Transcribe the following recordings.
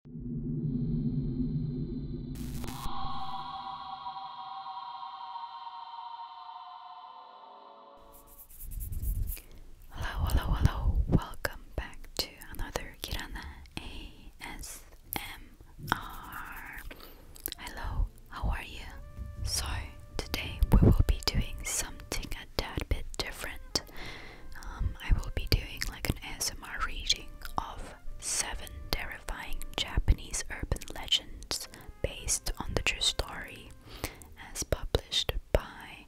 Hello, hello, hello. Welcome back to another Kirana ASMR. Hello, how are you? So, today we will be doing something a tad bit different. Um, I will be doing like an ASMR reading of seven terrifying Japanese urban legends based on the true story as published by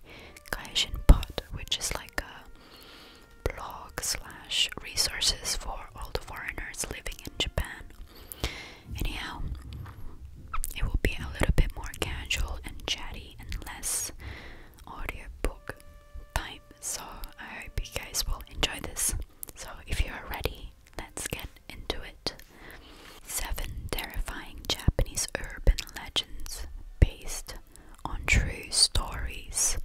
Kaishin Pod, which is like a blog slash resources for all the foreigners living in Japan. Anyhow, it will be a little bit more casual and chatty and less audiobook so I hope you guys will enjoy this. So if you are ready, let's get into it. Seven terrifying Japanese urban legends based on true stories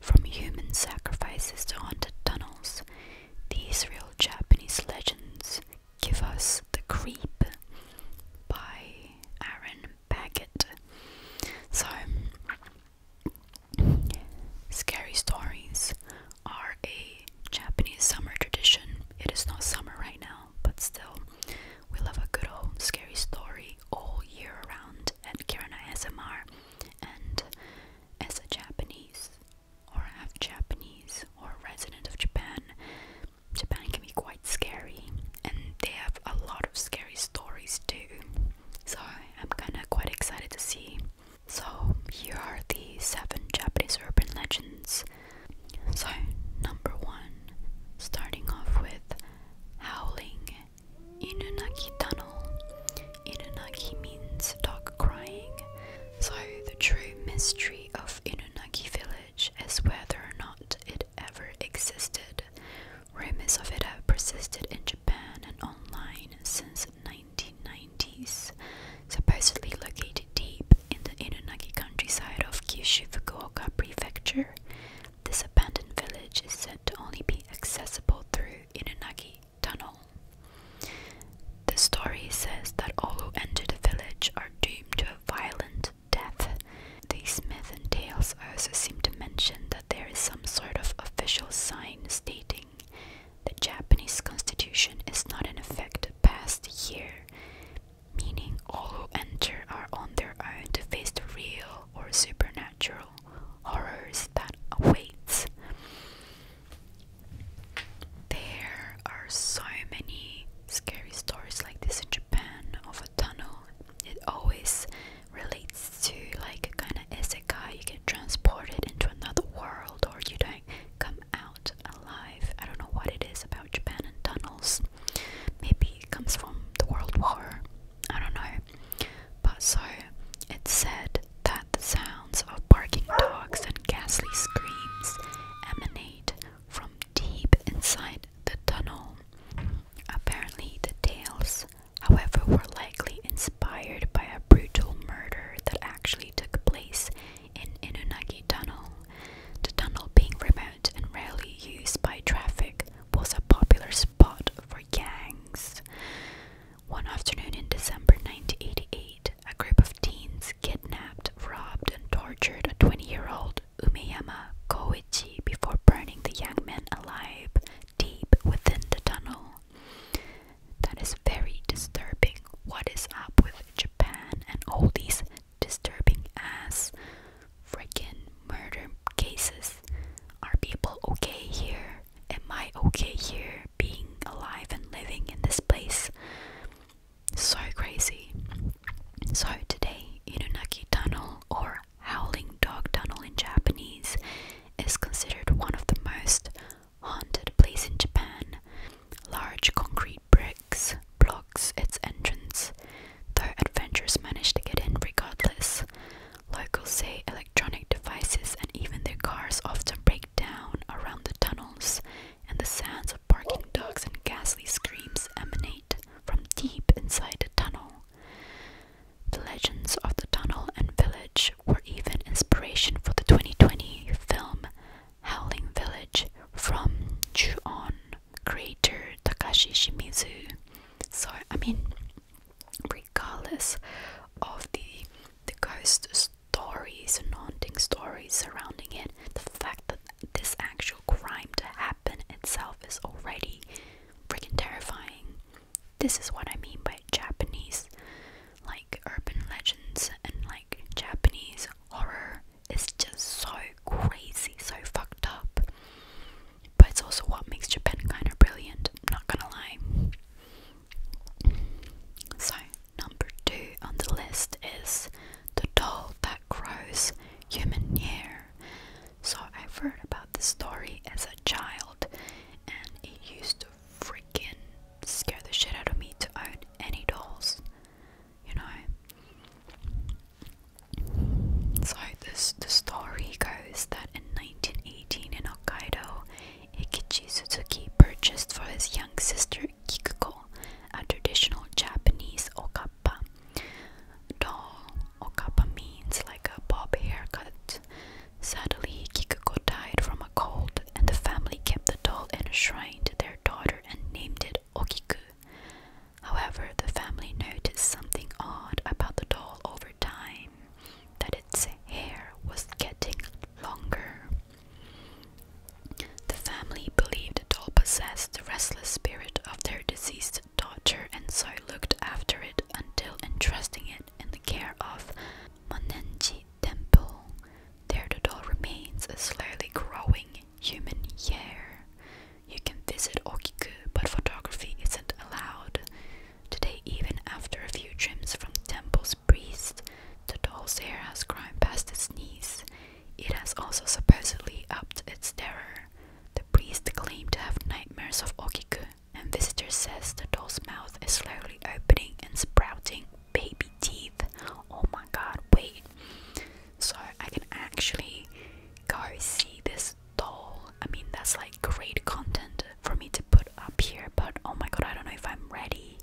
from human sacrifices to haunted tunnels. These real Japanese legends give us the creep by Aaron Baggett. So, scary stories are a Japanese summer tradition. It is not summer right now, but still, we love a good old scary story all year around at Kirana SMR. And as a Japanese, or half Japanese, or resident of Japan, Japan can be quite scary, and they have a lot of scary stories too. So I'm kinda quite excited to see. So here are the seven Japanese urban legends. So number one, starting off with howling Inunaki Tunnel. Inunaki means dog crying. So the true mystery of Inunaki village is whether or not it ever existed Rumors of it have persisted in Japan and online since 1990s, supposedly located deep in the Inunagi countryside of Kyushu Fukuoka Prefecture. This abandoned village is said to only be accessible through Inunagi Tunnel. The story says that all who enter the village are doomed to a violent death. The Smith and Tales also seem to mention that there is some sort of official sign stating the Japanese constitution is not in effect past year, meaning all who enter are on their own to face the real or supernatural horrors that awaits. There are so many scary stories like this in Japan of a tunnel. It always relates to like kind of isekai. You get transported into another world, or you don't come out alive. I don't know what it is about Japan and tunnels. Maybe it comes from the World War. I don't know. But so it said that the sounds of barking dogs and ghastly screams emanate from deep inside the tunnel. Apparently, the tales, however, were likely inspired by a brutal murder that actually took place in Inunagi Tunnel. The tunnel, being remote and rarely used by traffic, was a popular spot for gangs. One afternoon in December 1988, a group of teens kidnapped, robbed, and tortured a 20 year old Umeyama Koichi before burning the young man alive deep within the tunnel. That is very disturbing. What is up with Japan and all these disturbing ass freaking murder cases? Are people okay here? Am I okay here being alive and living in this place? So crazy. So today, Inunaki Tunnel or Howling Dog Tunnel in Japanese is considered one of the most haunted place in Japan. Large concrete bricks blocks its entrance, though adventurers manage to get in regardless. Locals say electronic devices and even their cars often break down around the tunnels, and the sounds of barking dogs and ghastly screams emanate from deep inside the tunnel. The legends of the tunnel and village were even inspiration for the 2020 film Howling Village from ju creator Takashi Shimizu. So, I mean, regardless of the the ghost stories and haunting stories surrounding it, the fact that this actual crime did happen itself is already freaking terrifying. This is what I mean by Japanese, like urban legends and like Japanese horror is just so crazy, so fucked up. But it's also what makes Japan kind of brilliant, I'm not gonna lie. So, number two on the list is The Doll That Grows Human Hair. So, I've heard about the story as a child, and it used to freaking scare the shit out of me to own any dolls, you know. So this the story goes that in 1918 in Hokkaido, Ikichi Suzuki purchased for his young sister Kikuko a traditional Japanese okapi kappa doll or means like a bob haircut. Sadly, Kikuko died from a cold, and the family kept the doll in a shrine to their daughter and named it Okiku. However, the family noticed something odd about the doll over time that its hair was getting longer. The family believed the doll possessed the restless spirit of their deceased daughter and so I looked after it until entrusting it in the care of Manenji Temple. There the doll remains a slowly growing human hair. You can visit Okiku, but photography isn't allowed. Today, even after a few trims from the temple's priest, the doll's hair has grown past its knees. It has also supposedly upped its terror. The priest claimed to have nightmares of Okiku, and visitors says the doll's mouth is slowly opening and sprouting baby teeth. Oh my god, wait. So I can actually go see this doll. I mean, that's like great content for me to put up here, but oh my god, I don't know if I'm ready.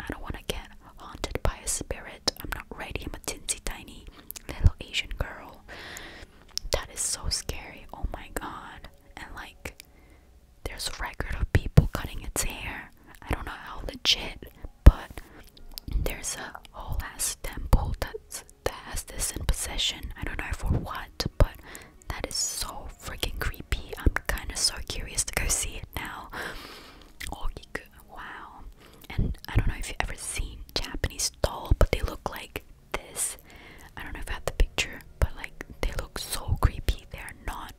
I don't want to get haunted by a spirit. I'm not ready. I'm a tinsy tiny little Asian girl. That is so scary. Oh my god. And like there's a record of people cutting its hair. I don't know how legit, but there's a whole ass temple that's that has this in possession. I don't know for what, but that is so freaking creepy. I'm kind of so curious to go see it now. Oh, wow. And I don't know if you've ever seen Japanese doll, but they look like this. I don't know if I have the picture, but like they look so creepy. They're not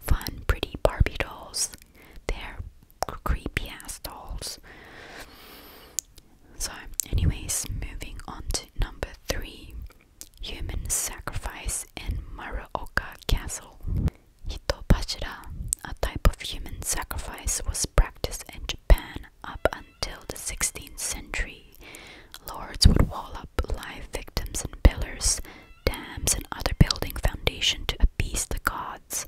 fun, pretty Barbie dolls. They're creepy ass dolls. So, anyways, moving on to number three human sacrifice in Maraoka Castle. Hitobashira, a type of human sacrifice, was practiced in Japan up until until the 16th century, lords would wall up live victims in pillars, dams, and other building foundation to appease the gods,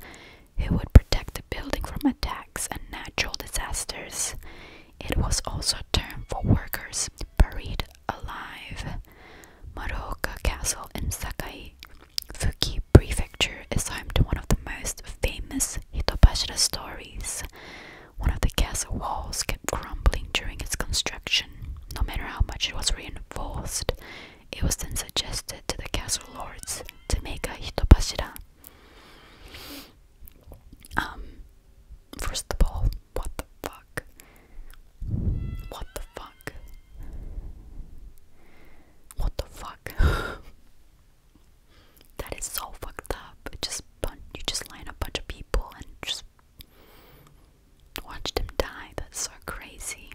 who would protect the building from attacks and natural disasters. It was also a term for workers buried alive. Maroka Castle in Sakai, Fuki Prefecture is home to one of the most famous Hitobashira stories. One of the castle walls kept crumbling during its construction, no matter how much it was reinforced. It was then suggested to the castle lords to make a Hitobashira. Um, first of all, what the fuck? What the fuck? What the fuck? That is so fucked up. just you just line a bunch of people and just watch them die. That's so crazy.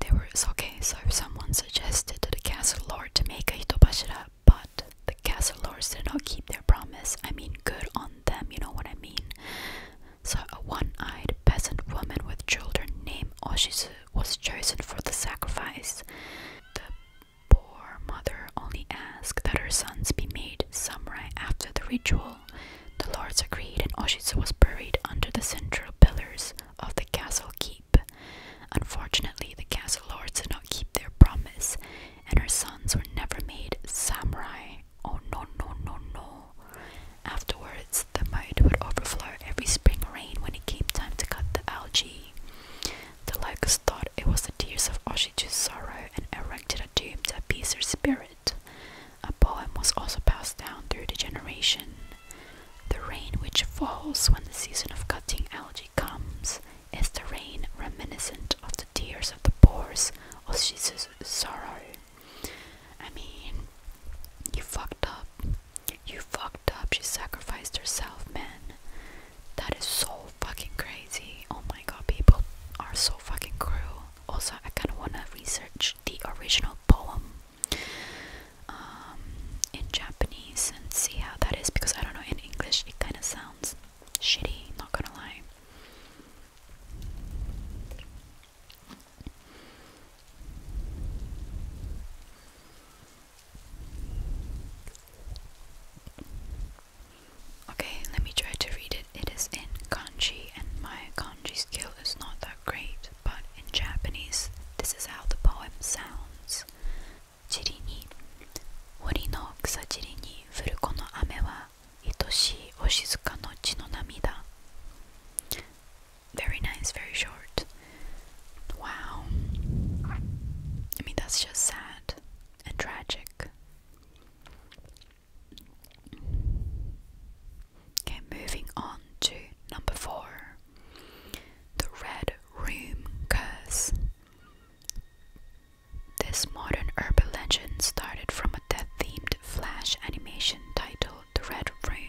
There was okay. So someone suggested to the castle lord to make a hitobashira, but the castle lords did not keep their promise. I mean, good on them. You know what I mean. So a one-eyed peasant woman with children named Oshizu was chosen for the sacrifice. The poor mother only asked that her sons be made samurai after the ritual. The lords agreed, and Oshizu was buried under the central pillars of the castle keep. Unfortunately, the castle lords did not keep their promise, and her sons were never made samurai. Oh no, no, no, no. Afterwards, the moat would overflow every spring rain when it came time to cut the algae. The locusts thought it was the tears of Oshichi's sorrow and erected a tomb to appease her spirit. A poem was also passed down through the generation. The rain which falls when the season of cutting algae comes is the rain reminiscent of the tears of the poors Oshichi's sorrow. I mean, you fucked up. You fucked up. She sacrificed herself, man. That is so fucking crazy. Oh my god, people are so fucking cruel. Also, I kind of want to research the original poem um, in Japanese and see how that is because I don't know. In English, it kind of sounds shitty, not gonna lie. Okay, let me try to read it. It is in kanji, and my kanji skill is not that great, but in Japanese, this is how the poem sounds. 塵に森の草塵に降るこの雨は愛しいお静かの血の涙 very nice, very short. Wow. I mean, that's just sad and tragic. Okay, moving on to number four the Red Room Curse. This modern urban legend started from a death themed flash animation titled The Red Room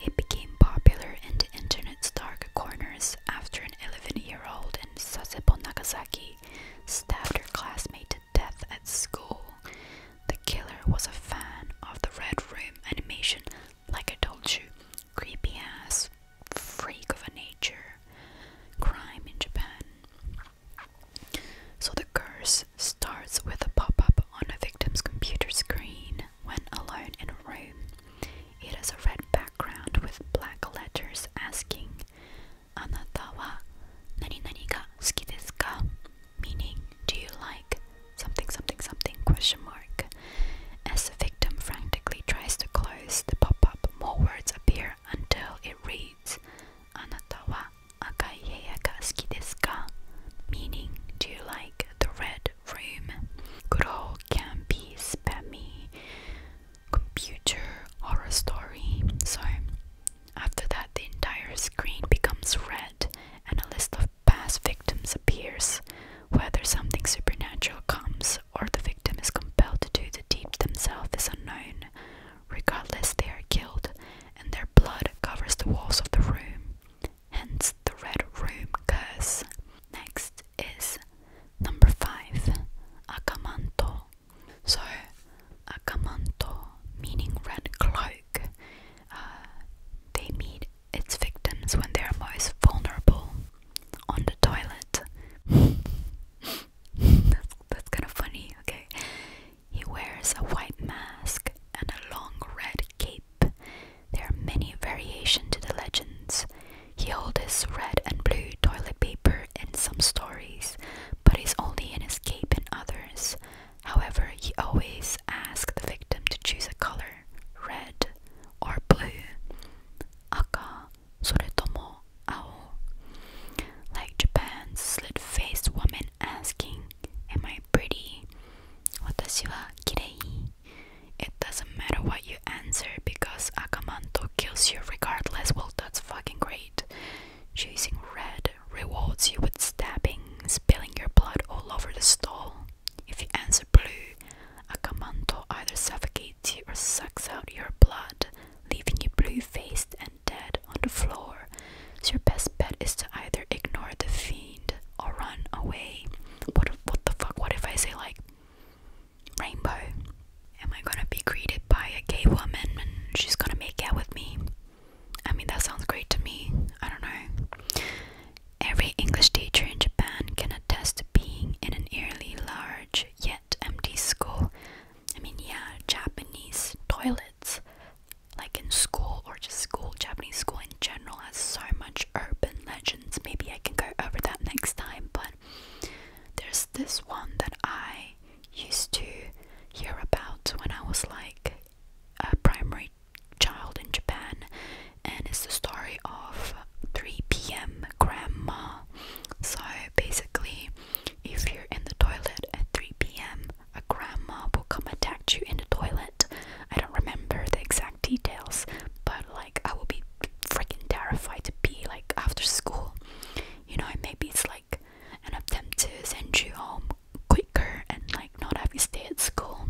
it became popular in the internet's dark corners after an 11 year old in Sasebo, Nagasaki stabbed her classmate to death at school. The killer was a fan of the Red Room animation, like I told you, creepy ass freak of a nature crime in Japan. So the curse starts with a pop up on a victim's computer screen when alone in a room. It has a red background with black letters asking, Anata wa nani nani ga suki desu ka? Meaning, do you like something something something question mark? As the victim frantically tries to close the pop-up, more words appear until it reads, Anata wa akai heya suki desu ka? Meaning, do you like the red room. Good old campy, spammy computer horror story. So, after that, the entire screen becomes red and a list of past victims appears. Whether something supernatural comes or the victim is compelled to do the deed themselves is unknown. Regardless, they are killed and their blood covers the walls of the room hence the Red Room curse. Next is number 5 Akamanto. So, Akamanto meaning red cloak. Uh, they meet its victims when they are most vulnerable on the toilet. that's kind of funny, okay? He wears a white mask and a long red cape there are many variations to the legends. He holds red and blue toilet paper in some stories, but is only an escape in others. However, he always asks the victim to choose a color, red or blue. Aka, soretomo, ao. Like Japan's slit-faced woman asking, "Am I pretty?" Watashi wa kirei. It doesn't matter what you answer because Akamanto kills you regardless. Well, that's fucking great. Choosing Red rewards you with stabbing, spilling your blood all over the stall. If you answer Blue, Akamanto either suffocates you or sucks out your blood, leaving you blue faced and dead on the floor. So, your best bet is to either ignore the fiend or run away. But what if, the fuck? What if I say like rainbow? Am I gonna be greeted by a gay woman and she's gonna make out with me? I mean, that sounds great to me. I don't know. Every English teacher in Japan can attest to being in an eerily large yet empty school. I mean, yeah, Japanese toilets, like in school or just school, Japanese school in general has so much urban legends. Maybe I can go over that next time, but there's this one that I used to hear about when I was like a primary child in Japan, and it's the story of 3 p.m. grandma. So basically, if you're in the toilet at 3 p.m., a grandma will come attack you in the toilet I don't remember the exact details, but like I would be freaking terrified to be like after school. You know, maybe it's like an attempt to send you home quicker and like not have you stay at school.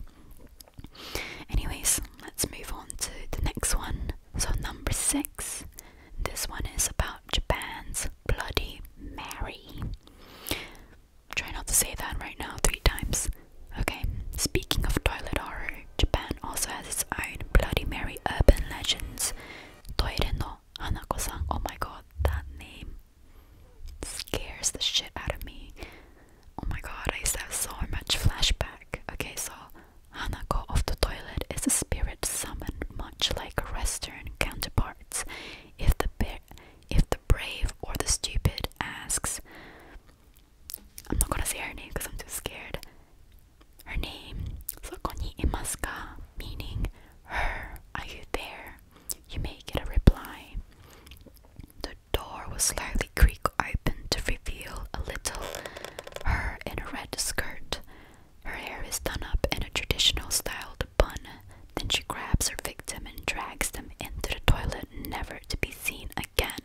Anyways, let's move on to the next one. So, number six, this one is about Japan's Bloody Mary. Try not to say that right now three times. Okay, speaking of toilet horror, Japan also has its own Bloody Mary urban legends. Toire no Hanako-san. Oh my god, that name scares the shit out of me. Oh my god, I used to have so much flashback. Okay, so Hanako of the toilet is a spirit summoned much like Western counterparts. If the if the brave or the stupid asks, I'm not gonna say her name because I'm too scared. Her name, Sokoni Imaska, meaning her, are you there? You may get a reply. The door was slowly creaked open to reveal a little her in a red skirt. Her hair is done up in a traditional styled bun. Then she grabs her victim and drags them into the toilet, never to be seen again.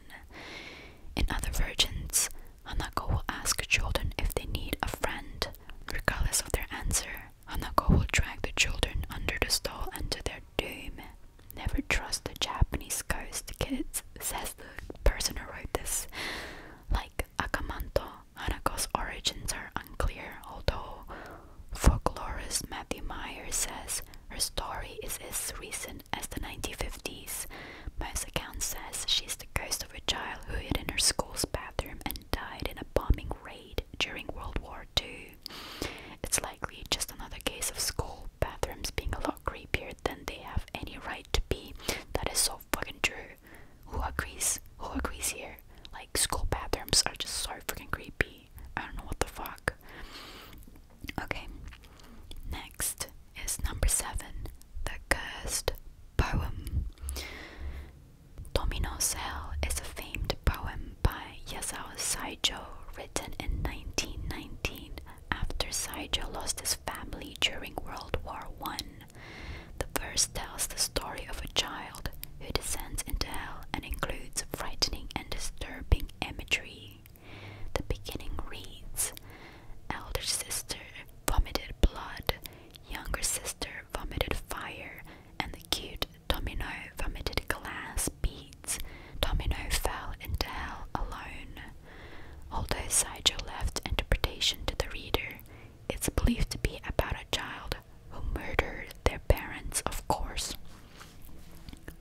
In other versions, Hanako will ask children if they need a friend. Regardless of their answer, Hanako will drag the children under the stall and to their doom. Never trust the Japanese ghost kids, says the person who wrote this. Like Akamanto, Hanako's origins are unclear, although folklorist Matthew Meyer says her story is as recent as the 1950s. Most accounts says she's the ghost of a child who hid in her school's bathroom and died in a bombing raid during World War II. It's likely just another case of school bathrooms being a lot creepier than they have any right to be. That is so fucking true. Who agrees? Who agrees here? Like school bathrooms are just so freaking creepy. I don't know what the fuck. Okay, next is number seven The Cursed Poem. Domino's Hell is a famed poem by Yasuo Saijo written in 1919 after Saijo lost his family during World War One, The verse tells the story of a child who descends into hell and includes frightening and disturbing imagery. The beginning reads Elder sister vomited blood, younger sister vomited fire, and the cute domino vomited glass beads. Domino fell into hell alone. Although Sideshow left interpretation to the reader, it's believed to be about a child who murdered their parents, of course.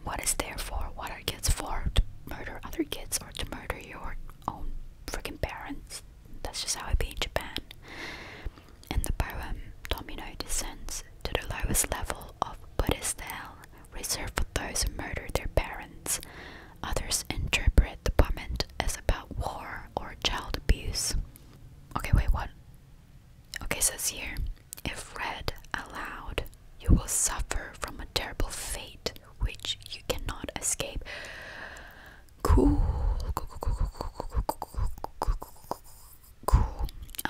What is there for? What are kids for? To murder other kids or to murder your own freaking parents? That's just how it be in Japan. In the poem, Domino descends to the lowest level of Buddhist hell, reserved for those who murder their parents. Others interpret the poem as about war or child abuse. Okay, wait, what? Okay, so it's here. If read aloud, you will suffer from a terrible fate which you cannot escape. Cool.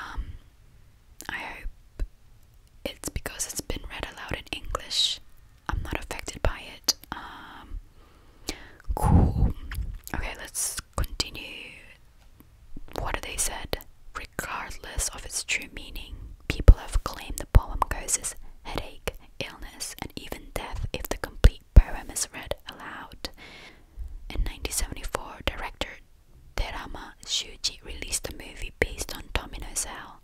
Um, I hope it's because it's been read aloud in English. I'm not affected by it. cool. Okay, let's continue what they said. Regardless of its true meaning, people have claimed the poem causes headache, illness, and even death if the complete poem is read aloud. In 1974, director Terama Shuji released a movie based on Domino Cell,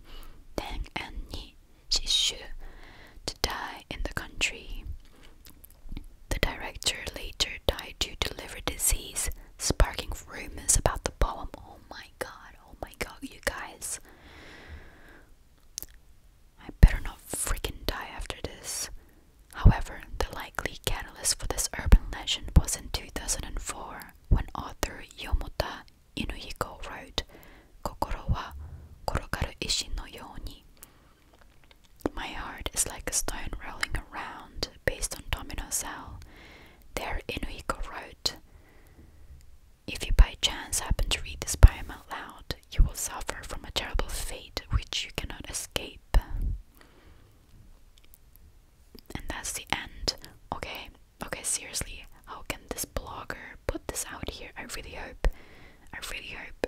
Deng and Ni Shishu, to die in the country. The director later died due to liver disease, sparking rumors about the poem. Oh my god, oh my god, you guys. I better not freaking die after this. However, the likely catalyst for this urban legend was in 2004 when author Yomota Inuyiko wrote Kokoro wa korokaru ishi no yoni. My heart is like a stone rolling around, based on Domino Cell, there Inuiko wrote If you by chance happen to read this poem aloud, you will suffer from a terrible fate which you cannot escape. And that's the end. Okay, okay, seriously, how can this blogger put this out here? I really hope. I really hope.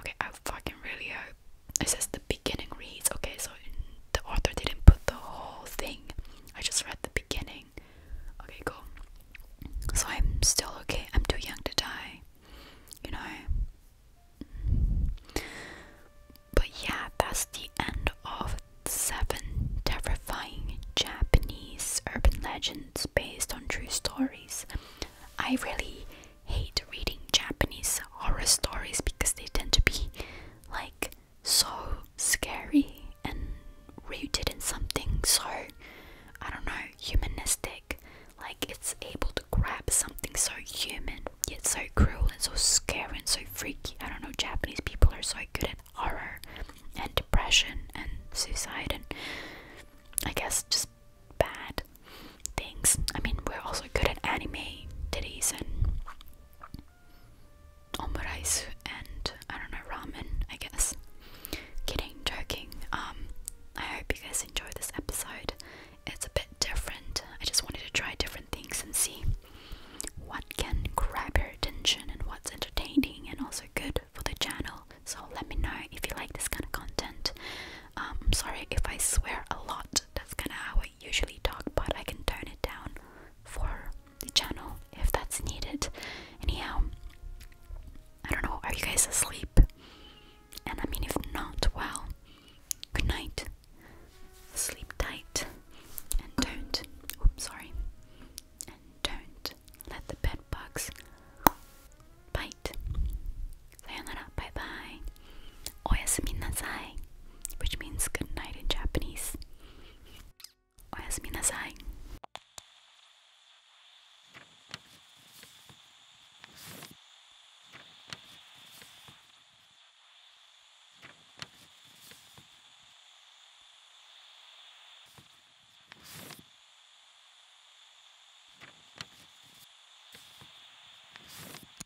Okay, I fucking really hope. It says the beginning reads. Okay, so the author didn't put the whole thing. I just read the beginning. Okay, cool. So I'm still okay. I'm too young to die. You know? But yeah, that's the end of seven terrifying Japanese urban legends based on true stories. I really hate reading Japanese horror stories because they tend to be like so scary and rooted in something so I don't know, humanistic. Like it's able to grab something so human, yet so cruel and so scary and so freaky. I don't know, Japanese people are so good at horror and depression and suicide and I guess just bad things. I mean, we're also good at anime titties and omuraisu and I don't know ramen, I guess. Kidding, joking. Um, I hope you guys enjoy this episode. It's a bit different. I just wanted to try different things and see what can grab your attention and what's entertaining and also good for the channel. So let me know if you like this kind of content. Um, sorry if I swear a lot. That's kind of how usually talk, but I can turn it down for the channel if that's needed. Anyhow, I don't know, are you guys asleep? And I mean, if not, well, good night. Sleep tight and don't, oops, sorry, and don't let the bed bugs bite. Sayonara, bye bye. Oyasumi which means good night in Japanese. Oyasumi